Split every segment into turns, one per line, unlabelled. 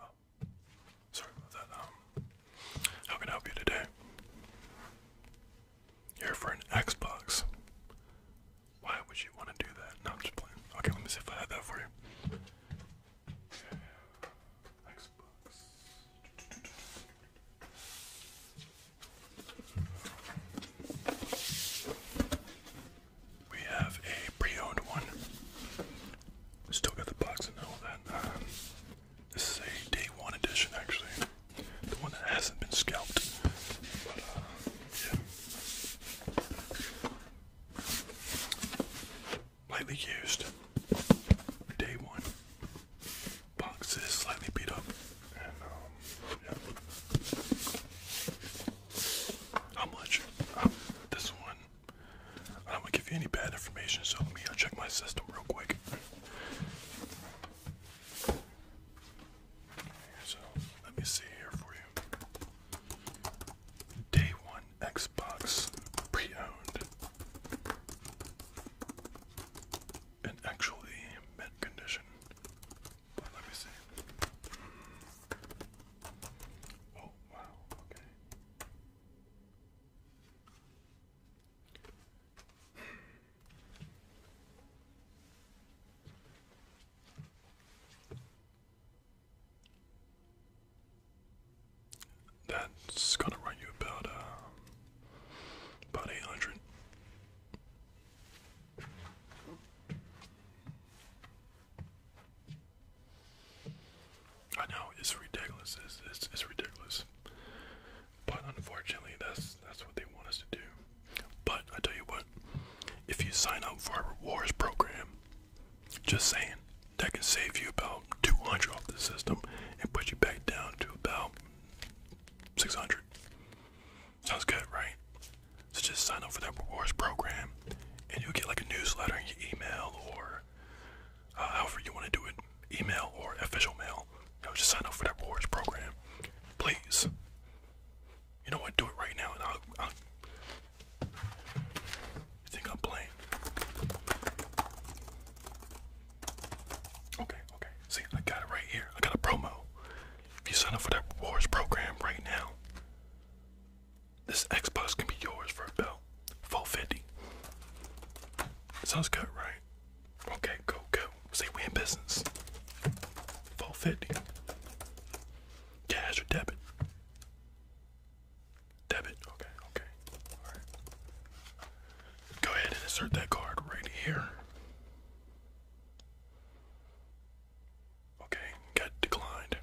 Oh, sorry about that. Um, how can I help you today? Here for an Xbox. Why would you want to do that? No, I'm just playing. Okay, let me see if I have that for you. Xbox. We have a pre-owned one. Still got the box and all that. Um, this is a day one edition, actually. The one that hasn't been scalped. Uh, Lightly used. Day one. Box is slightly beat up. Um, How much? Uh, this one. I don't want to give you any bad information, so let me uh, check my system real quick. So let me see here for you. Day one Xbox pre-owned and actually mint condition. Let me see. Oh, wow, okay. That's gonna run you about um, about eight hundred. I know it's ridiculous. It's, ridiculous. But unfortunately, that's that's what they want us to do. But I tell you what, if you sign up for our rewards program, just saying, that can save you about 200 off the system and put you back down to about 600. Sounds good, right? So just sign up for that rewards program, and you'll get like a newsletter in your email or uh, you want to do it, email or official mail. You know, just sign up for that rewards program, please. You know what? Do it right now, and I'll. I'll you think I'm playing? Okay, okay. See, I got it right here. I got a promo. If you sign up for that rewards program right now, this X Xbox can be yours for a about 450. Sounds good, right? Okay, go, go. Say we in business. 450. Cash or debit? Debit, okay, okay. Alright. Go ahead and insert that card right here. Okay, got declined.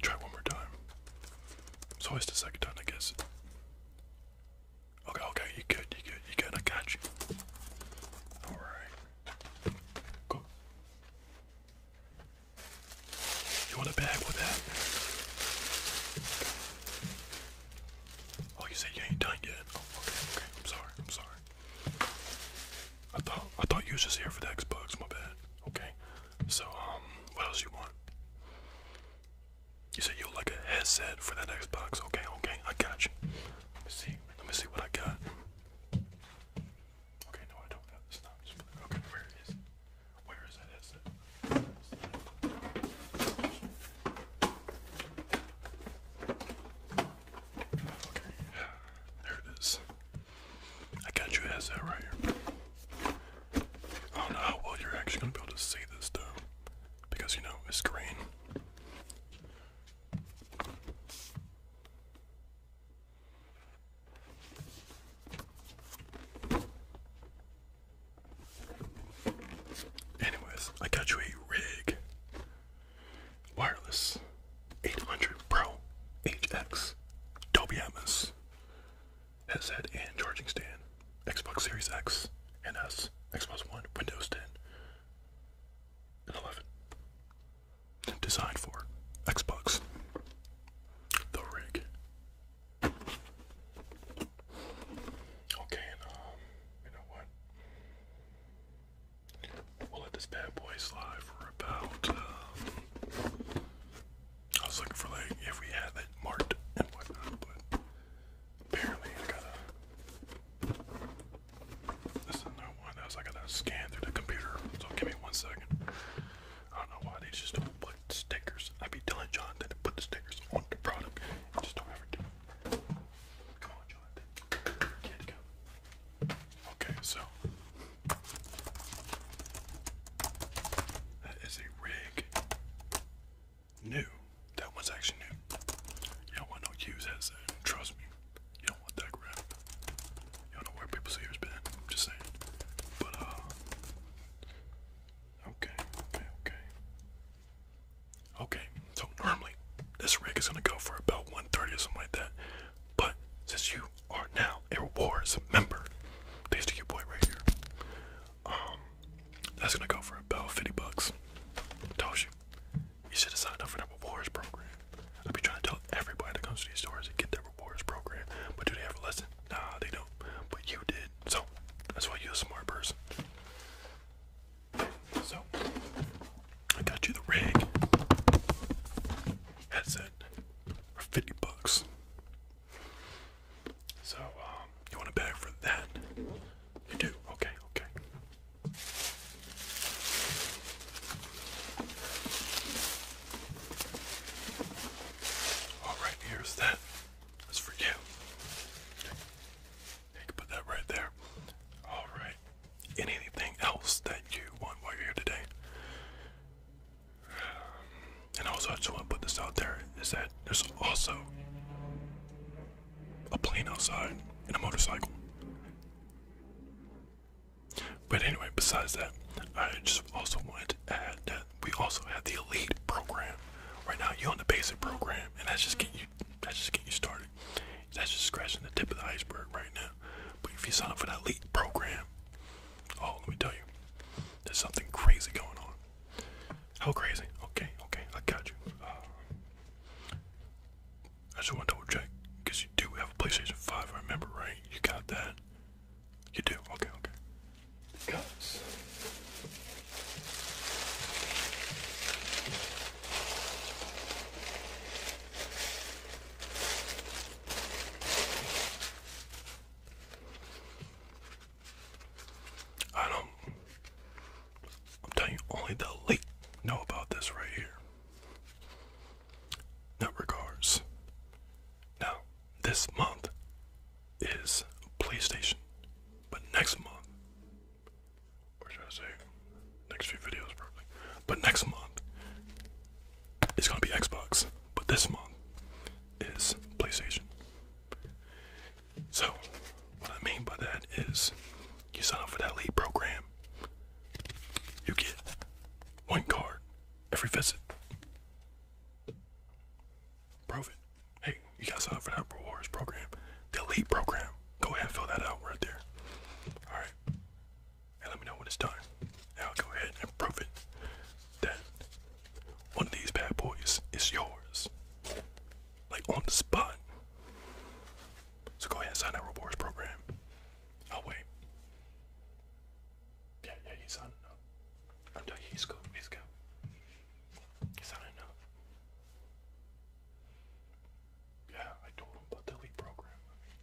Try one more time. It's always the second time, I guess. Okay, okay, you good, you good, you good, I got you. Alright. Go. You want a bag with that? Oh, you said you ain't done yet. Oh, okay, okay, I'm sorry, I'm sorry. I thought I thought you was just here for the Xbox, my bad. Okay. So um what else you want? You said you like a headset for that Xbox. Okay, okay, I got you. Let me see. Let me see what I got. Okay, no, I don't have this. Not okay, where is it? Where is that headset? Okay, there it is. I got you as that right here. I don't know how well you're actually gonna be able to see this though, because you know it's green. Anyways, I got you a rig wireless 800 Pro HX Dolby Atmos headset and charging stand, Xbox Series X and S, Xbox One, Windows 10 and 11. Designed for Xbox. The rig. Okay, and um, you know what? We'll let this bad boy slide for about. Um, I was looking for like if we had it marked and whatnot, but apparently I gotta. This is not one of those. I gotta scan through the computer. So give me one second. I don't know why they just don't put stickers. I'd be telling Jonathan to put the stickers on the product. just don't ever do it. Come on, Jonathan. Okay, so that is a rig. New. That one's actually new. You do want no use as that. Trust me. You do want that crap. You do know where people's ears been. I'm just saying. But uh Okay, okay, okay. Okay, so normally this rig is gonna go for about 130 or something like that. But since you are now a rewards member, thanks to your boy right here, um, that's gonna go for about 50 bucks. I told you, you said it's signed up for that rewards program. I'll be trying to tell everybody that comes to these stores to get their rewards program, but do they ever listen? Nah, they don't. But you did, so that's why you're a smart person. So I got you the rig headset for 50 bucks. So um, you want a bag for that? You do, okay, okay. Alright, here's that. That's for you. You can put that right there. All right. Anything else that you want while you're here today? And also, I just want to put this out there: is that there's also a plane outside and a motorcycle. But anyway, besides that, I just also went and we also had the elite program. Right now, you're on the basic program, and that's just getting you that's just get you started. That's just scratching the tip of the iceberg right now. But if you sign up for that elite program, oh, let me tell you, there's something crazy going on. How crazy? Okay, okay, I got you. Uh, I just want to double check because you do have a PlayStation 5, I remember, right? You got that? You do? Okay, okay. Guts. I don't. I'm telling you, only the late know about this right here. No regards. Now, this month is PlayStation, but next month or should I say, next few videos probably. But next month, it's gonna be Xbox. But this month is PlayStation. So, what I mean by that is, you sign up for that lead program, you get one card every visit. Prove it hey, you got signed up for that rewards program, the elite program. Go ahead and fill that out right there. All right, and let me know when it's done. Now I'll go ahead and prove it that one of these bad boys is yours, like on the spot. So go ahead and sign that rewards program. I'll wait. Yeah, yeah, he's signing up. I'm telling you, he's good. He's good. He's signing up. Yeah, I told him about the elite program.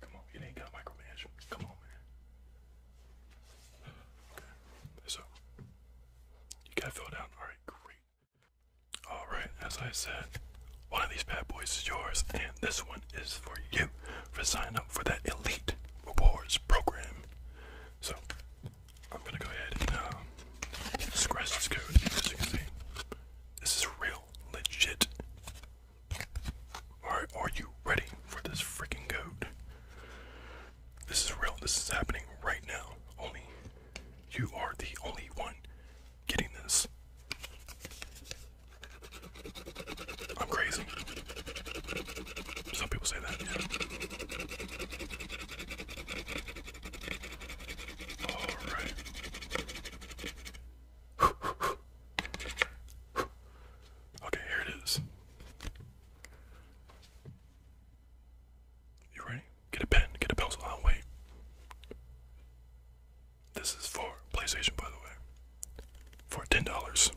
come on, it ain't got micromanage. Come on, man. so you got fill out. All right, great. All right, as I said, one of these bad boys is yours, and this one is for you for signing up for that elite rewards program. So I'm gonna go ahead and um, scratch this code. As you can see, this is real, legit. All right, Are you ready for this freaking code? This is real. This is happening right now. Only you are the only one getting this. I'm crazy. Some people say that. Alright. Okay, here it is. You ready? Get a pen, get a pencil. wait. This is for PlayStation, by the way. For ten dollars.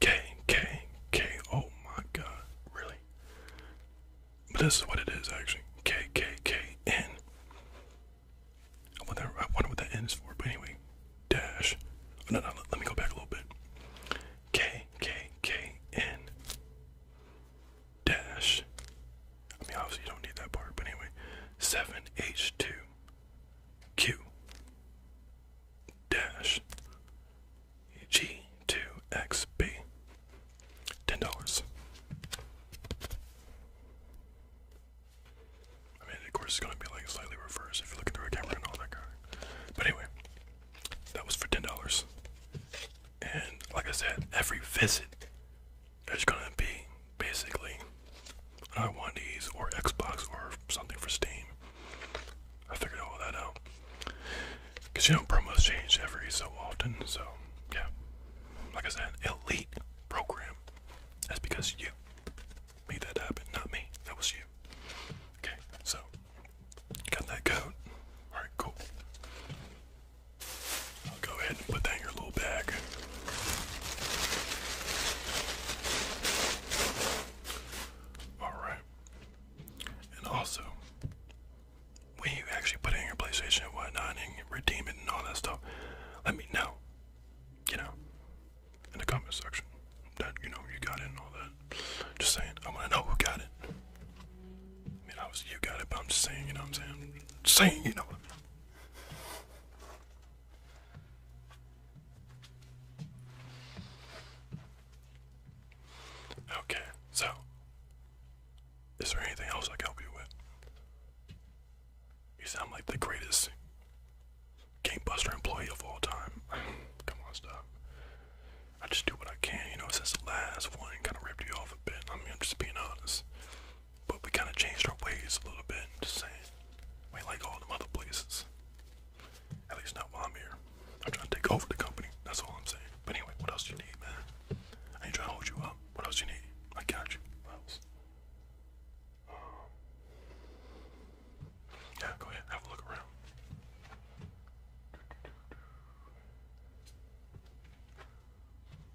K K K. Oh my God! Really? But this is what it is actually. KKKN. wonder, I wonder what that N is for, but anyway. Dash. Oh, no, no, let me go back a little bit. KKKN. Dash. I mean, obviously, you don't need that part, but anyway. 7H2Q. Dash. G2XB ten dollars. I mean, of course, it's gonna be like slightly reversed if you look into a camera and all that kind. but anyway, that was for ten dollars. And like I said, every visit there's gonna be basically another one these or Xbox or something for Steam. I figured all that out. Because you know, promos change every so often, so yeah. Like I said, elite program. That's because you made that happen, not me. That was you. Okay, so got that code. Alright, cool. go ahead and put that in your little bag. Alright. And also, when you actually put it in your PlayStation and whatnot and redeem it and all that stuff, let me know. You know, in the comment section that you know you got it and all that. Just saying, I want to know who got it. I mean, you got it, but I'm just saying, you know I'm saying? saying, you know. Okay, so is there anything else I can help you with? You sound like the greatest Gamebuster employee of all time. Come on, stop. I just do what I can, you know, since the last one kind of ripped you off a bit. I mean, I'm just being honest. But we kind of changed our ways a little bit, just saying. We ain't like all the other places. At least not while I'm here. I'm trying to take over the company, that's all I'm saying. But anyway, what else do you need, man? I ain't trying to hold you up. What else you need? I got you. What else? Um, yeah, go ahead. Have a look around.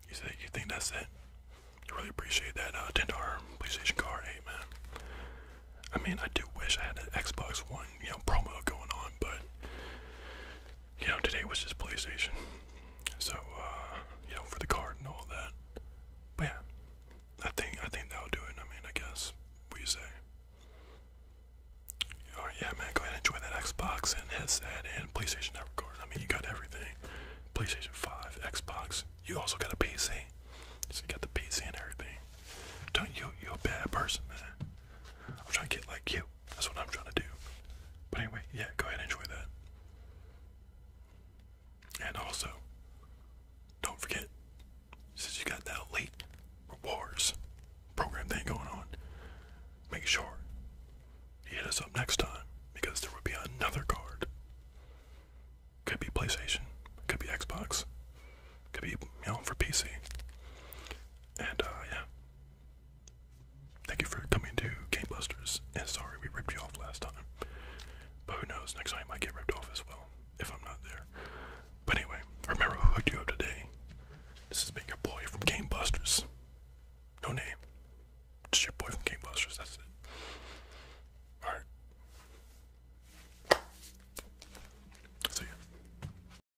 You say you think that's it? I really appreciate that uh, ten dollar PlayStation card, man. I mean, I do wish I had an Xbox One, you know, promo going on, but you know, today was just PlayStation. So, uh, you know, for the card and all that. But yeah, I think I think that'll do it. I mean, I guess what do you say? All right, yeah, man, go ahead and join that Xbox and headset and PlayStation Network card. I mean, you got everything: PlayStation Five, Xbox. You also got a PC. So you got the PC and everything. Don't you? you a bad person, man. I'm trying to get like you. That's what I'm trying to do. But anyway, yeah, go ahead and enjoy that. And also, don't forget, since you got that late rewards program thing going on, make sure you hit us up next time because there will be another card. Could be PlayStation, could be Xbox, could be you know for PC. And uh, yeah, Thank you for coming to Game Busters. And sorry we ripped you off last time. But who knows, next time I might get ripped off as well, if I'm not there. But anyway, remember who hooked you up today. This has been your boy from Game Busters. No name. Just your boy from Game Busters, that's it. Alright. See ya.